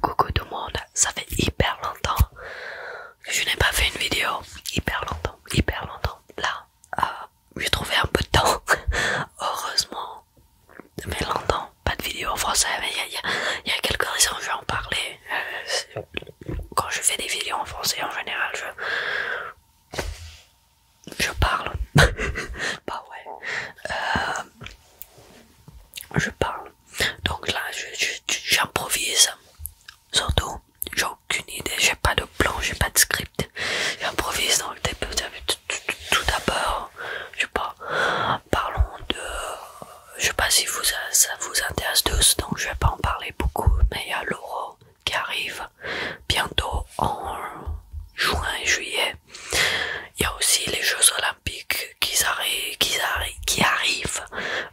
Coucou tout le monde, ça fait hyper longtemps que je n'ai pas fait une vidéo, hyper longtemps, hyper longtemps. Là, euh, j'ai trouvé un peu de temps, heureusement, mais longtemps, pas de vidéo en français, mais il y, a quelques raisons, je vais en parler. Euh, quand je fais des vidéos en français en général, je, parle, bah ouais. Euh, je parle donc là, j'improvise. Surtout, j'ai aucune idée, j'ai pas de plan, j'ai pas de script. J'improvise dans le début. Tout d'abord, je sais pas, parlons de. Je sais pas si ça vous intéresse tous, donc je vais pas en parler beaucoup, mais il y a l'euro qui arrive bientôt en juin et juillet. Il y a aussi les Jeux là qui, arrive arrivent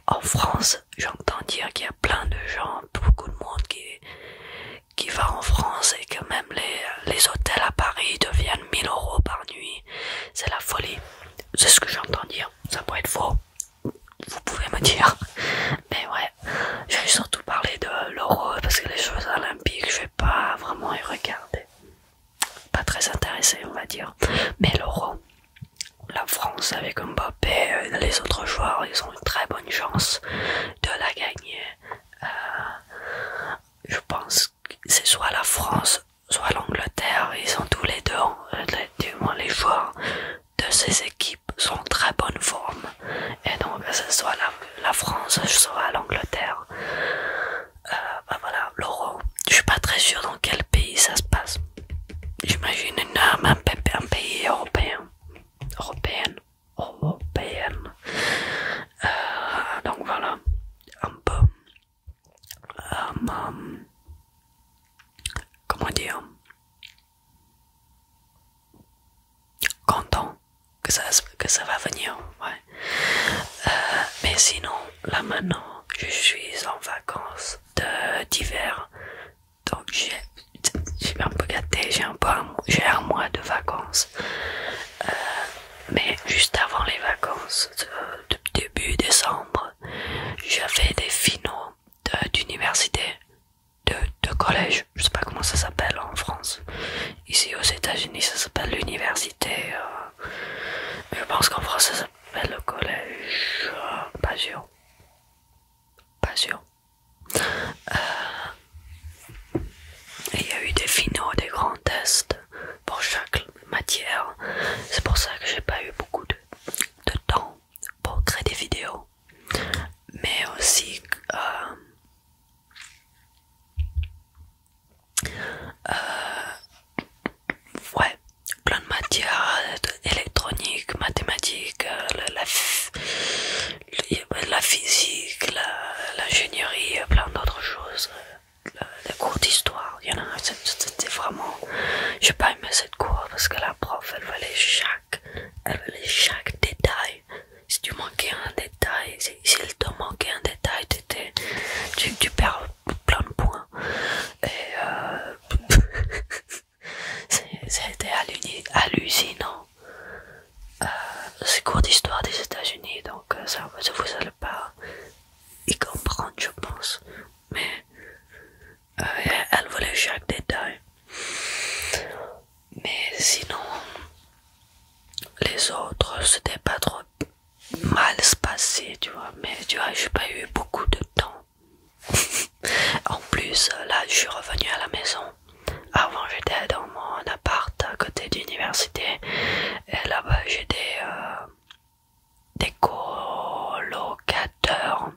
en France. J'entends dire qu'il y a plein de gens, beaucoup de monde qui, qui va en France et que même les, hôtels à Paris deviennent 1000 euros par nuit. C'est la folie. C'est ce que j'entends dire. Ça pourrait être faux. Vous pouvez me dire. Mais ouais, je vais surtout parler de l'euro parce que les jeux olympiques, je vais pas vraiment y regarder pas très intéressé, on va dire. Mais l'Euro, la France avec Mbappé et euh, les autres joueurs, ils ont une très bonne chance de la gagner. Euh, je pense que c'est soit la France, soit l'Angleterre. Ils sont tous les deux, euh, les, les joueurs de ces équipes sont en très bonne forme. Et donc, que ce soit la France, soit l'Angleterre. Euh, bah voilà, l'euro. Je suis pas très sûr dans quel pays ça se passe. J'imagine un, pays européen. Européenne. Européenne. Euh, donc voilà. Un peu. Euh, comment dire Content que ça, que ça va venir. Euh, mais sinon, là maintenant, je suis en vacances d'hiver. Donc j'ai un peu gâté, j'ai un, un mois de vacances. Euh, mais juste avant les vacances, euh, début décembre, j'avais des finaux d'université, de, collège, je sais pas comment ça s'appelle en France. Ici aux États-Unis, ça s'appelle l'université. Je pense qu'en français ça s'appelle le collège. Pas sûr. Pas sûr. il y a eu des finaux, des grands tests pour chaque matière. C'est pour ça que j'ai pas eu beaucoup de, temps pour créer des vidéos. Mais aussi... Euh, euh, ouais, plein de matières électroniques, mathématiques, euh, la, physique, l'ingénierie, euh, plein d'autres choses. les cours d'histoire, il y en a, c'est vraiment. J'ai pas aimé cette cour parce que la prof elle voulait chaque, chaque détail. Si tu manquais un détail, si, si te manquait un détail, tu, perds plein de points et euh, c'était hallucinant euh, c'est cours d'histoire des états unis donc euh, ça, vous allez pas y comprendre je pense mais elle voulait chaque détail mais sinon les autres c'était pas trop mal se passer, tu vois. Mais tu vois, j'ai pas eu beaucoup de temps. en plus, là, je suis revenu à la maison. Avant, j'étais dans mon appart à côté d'université. Et là-bas, j'ai euh, des, colocateurs.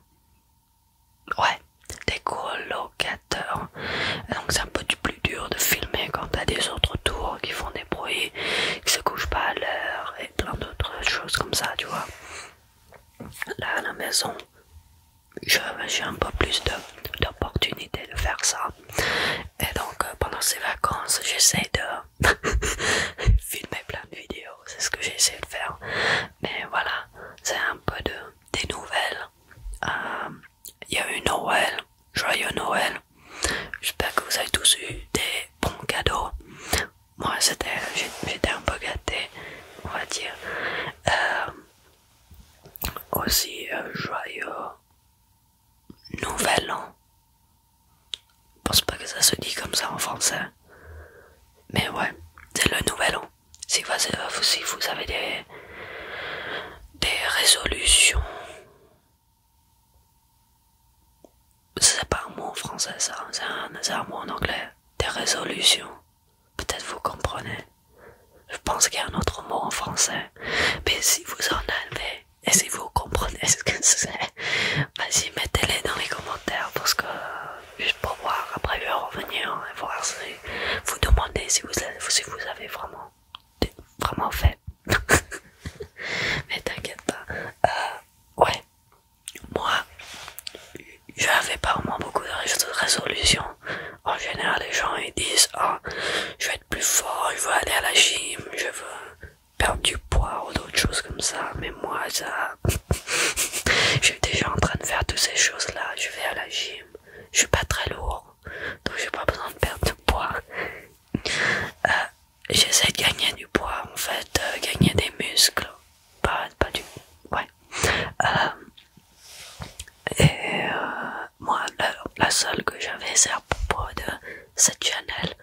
Ouais, des colocateurs. donc, c'est un peu plus dur de filmer quand t'as des autres tours qui font des bruits, qui se couchent pas à l'heure plein d'autres choses comme ça, tu vois. Là à la maison, j'ai un peu plus d'opportunités de, faire ça. Et donc euh, pendant ces vacances, j'essaie de filmer plein de vidéos, c'est ce que j'essaie de faire. Mais voilà, c'est un peu de, des nouvelles. Euh, il y a eu Noël, joyeux Noël. J'espère que vous avez tous eu des bons cadeaux. Moi, j'étais un peu gâté, on va dire. Euh, aussi, un euh, joyeux nouvel an. Je pense pas que ça se dit comme ça en français. Mais ouais, c'est le nouvel an. Si vous, vous avez des, des résolutions c'est pas un mot en français, ça, c'est un, mot en anglais. Des résolutions. Peut-être vous comprenez. Je pense qu'il y a un autre mot en français. Mais si vous en avez et si vous comprenez ce que c'est, vas-y, mettez-les dans les commentaires parce que juste pour voir. Après, je revenir et voir si vous demandez si vous avez, vraiment, vraiment fait. Mais t'inquiète pas. Euh, ouais, moi, je n'avais pas vraiment beaucoup de résolution. En général, les gens ils disent Ah, je vais être plus fort, je veux aller à la gym, je veux perdre du poids ou d'autres choses comme ça. Mais moi, ça. je suis déjà en train de faire toutes ces choses-là. Je vais à la gym, je suis pas très lourd, donc j'ai pas besoin de perdre de poids. Euh, j'essaie de gagner du poids en fait, euh, gagner des muscles, pas, pas du... ouais. Euh, et euh, moi, la, seule que j'avais c'est à propos de cette Chanel,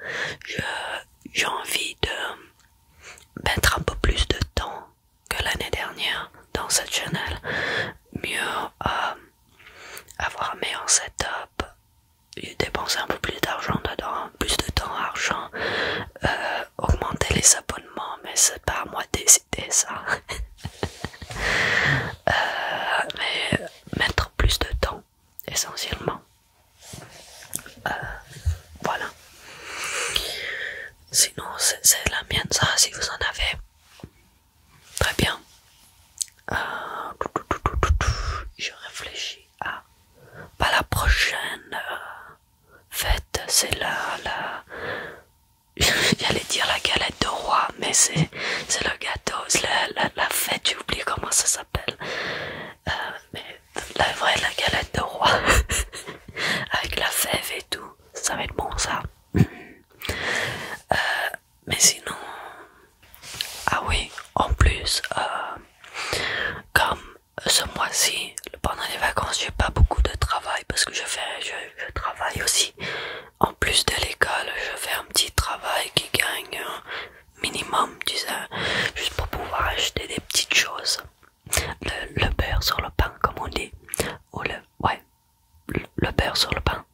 j'ai envie de mettre un peu plus de temps que l'année dernière dans cette chaîne, mieux avoir un meilleur setup, dépenser un peu plus d'argent dedans, plus de temps, argent, augmenter les abonnements, mais c'est pas à moi de décider ça. mais mettre plus de temps, essentiellement. voilà. Sinon, c'est la mienne, ça, si vous en avez. Très bien. je réfléchis à pas la prochaine fête, c'est la, la... J'allais dire la galette de roi, mais c'est le gâteau, c'est la, fête, j'ai oublié comment ça s'appelle. Euh, mais la vraie, la galette de roi, avec la fève et tout, ça va être bon ça. Euh, mais sinon... Ah oui, en plus, euh, comme ce mois-ci, pendant les vacances, j'ai pas beaucoup de travail parce que je fais, je, travaille aussi. En plus de l'école, je fais un petit travail qui gagne un minimum, tu sais, juste pour pouvoir acheter des petites choses. Le, beurre sur le pain, comme on dit, ou le, ouais, le, beurre sur le pain.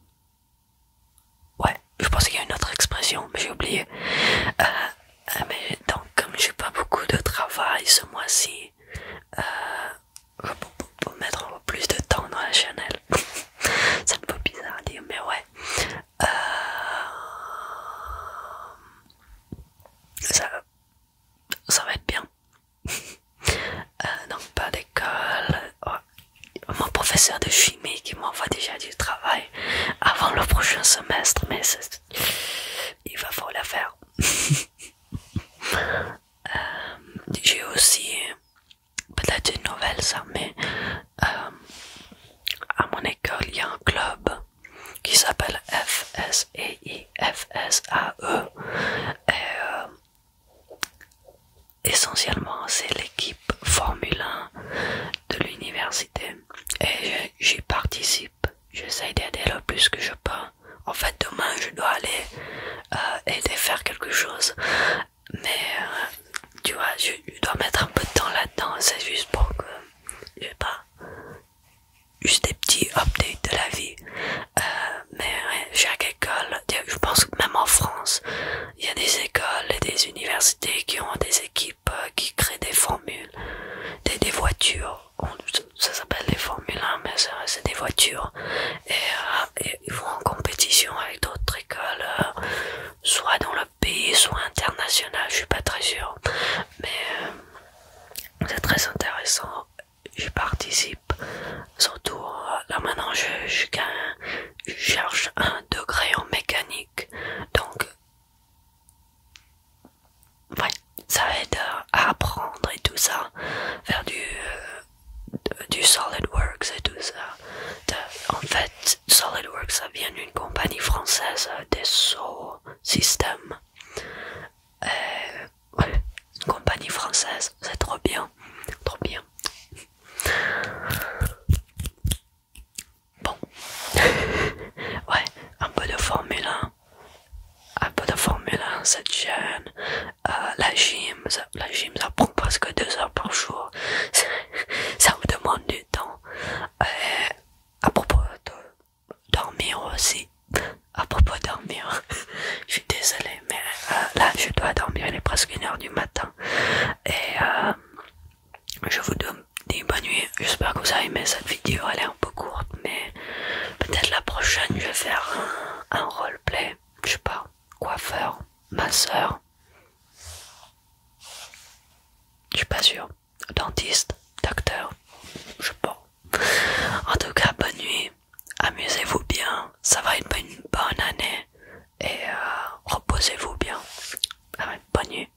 Ouais, je pensais qu'il y a une autre expression, mais j'ai oublié. Euh, ah, mais donc comme j'ai pas beaucoup de travail ce mois-ci, euh, je pour, mettre plus de temps dans la Chanel, c'est un peu bizarre à dire, mais ouais. Euh, ça, va être bien. donc euh, pas d'école. mon professeur de chimie qui m'envoie déjà du travail avant le prochain semestre, mais c'est il va falloir la faire. Euh, j'ai aussi peut-être une nouvelle ça, mais euh, à mon école il y a un club qui s'appelle F FSAE. A E euh, essentiellement c'est l'équipe Formule 1 de l'université et j'y participe. J'essaie d'aider le plus que je peux. En fait, demain, je dois aller euh, aider faire quelque chose. Mais euh, tu vois, je, dois mettre un peu de temps là-dedans. C'est juste pour que, je sais pas, juste des petits updates de la vie. Euh, mais chaque école, je pense que même en France, il y a des écoles et des universités qui ont des équipes qui créent des formules, des, voitures. ça s'appelle des formules 1, hein, mais c'est des voitures. Euh, et, ils vont en compétition avec d'autres écoles, euh, soit dans le pays, soit international, je suis pas très sûr. Mais euh, c'est très intéressant. Je participe, surtout là maintenant je cherche un degré en mécanique, donc Ouais, ça aide à apprendre et tout ça, faire du, euh, SolidWorks et tout ça. en fait, SolidWorks, ça vient d'une compagnie française euh, des System. Euh, une compagnie française, c'est trop bien, trop bien. Bon, ouais, un peu de Formule un peu de Formule cette chaîne, euh, la gym, ça, la gym ça prend presque deux heures par jour, ça, vous demande du temps. Et euh, à propos de dormir aussi, à propos de dormir, je suis désolée, mais euh, là je dois dormir, il est presque une heure du matin. Et je vous donne bonne nuit, J'espère que vous avez aimé cette vidéo. Elle est un peu courte, mais peut-être la prochaine, je vais faire un, roleplay. Je sais pas, coiffeur, masseur. Je suis pas sûr. Dentiste, docteur, je sais pas. En tout cas, bonne nuit. Amusez-vous bien. Ça va être une bonne année. Et euh, reposez-vous bien. Ah bonne nuit.